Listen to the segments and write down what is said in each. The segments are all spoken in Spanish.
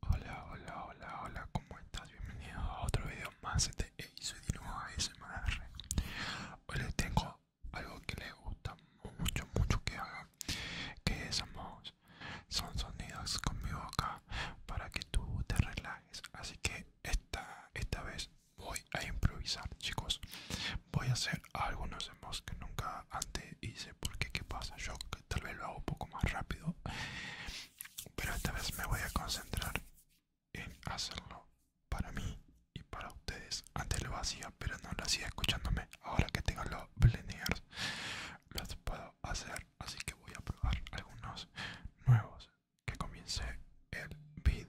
Hola, hola, hola, hola, ¿cómo estás? Bienvenido a otro video más de soy de nuevo Hoy les tengo algo que les gusta mucho, mucho que haga, que somos, son sonidos con mi boca para que tú te relajes. Así que esta, esta vez voy a improvisar, chicos. Voy a hacer algunos los que nunca antes hice, porque qué pasa, yo tal vez lo hago un poco más rápido pero esta vez me voy a concentrar en hacerlo para mí y para ustedes. Antes lo hacía, pero no lo hacía escuchándome. Ahora que tengo los blenders, los puedo hacer. Así que voy a probar algunos nuevos. Que comience el video.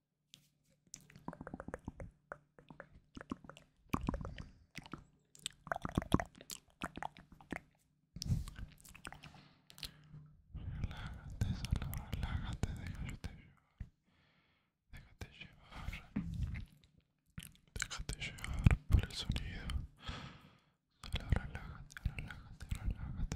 Relájate, solo relájate, déjate llevar. Déjate llevar. Déjate llevar por el sonido. Solo relájate, relájate, relájate.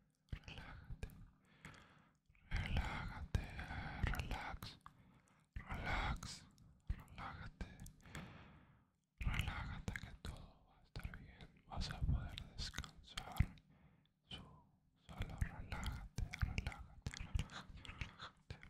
relájate, relájate, relax, relax, relájate, relájate que todo va a estar bien, vas a poder descansar. Su, solo relájate, relájate, relájate, relájate, relájate.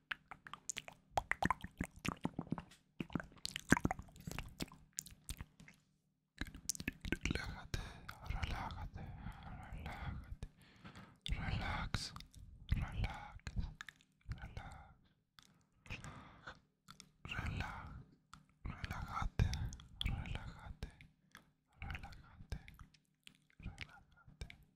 Relájate, relájate, relájate. Relax, relax, relax. Relax, relájate, relájate, relájate, relájate.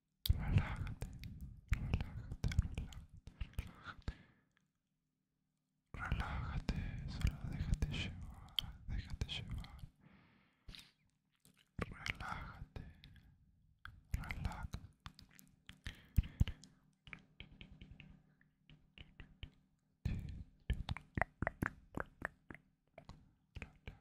Relájate, relájate, relájate, relájate. Relájate, solo déjate llevar, déjate llevar. Relájate, relájate.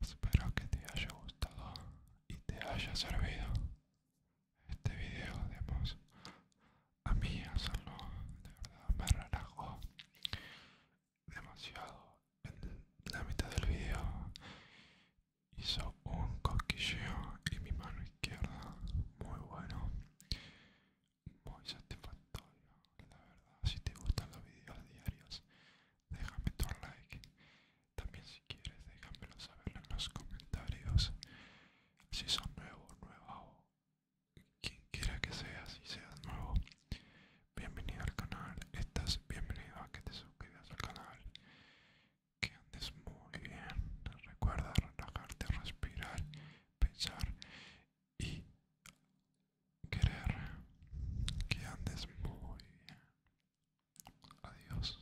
Espero que te haya gustado y te haya servido este video digamos. A mí hacerlo de verdad me relajó demasiado en la mitad del video hizo un cosquilleo en mi mano izquierda muy bueno muy satisfactorio la verdad si te gustan los vídeos diarios déjame tu like también si quieres déjamelo saber en los comentarios si son nuevos nuevo quien quiera que sea si seas nuevo bienvenido al canal estás bienvenido a que te suscribas al canal que andes muy bien. Recuerda relajarte, respirar, pensar y querer que andes muy bien. Adiós.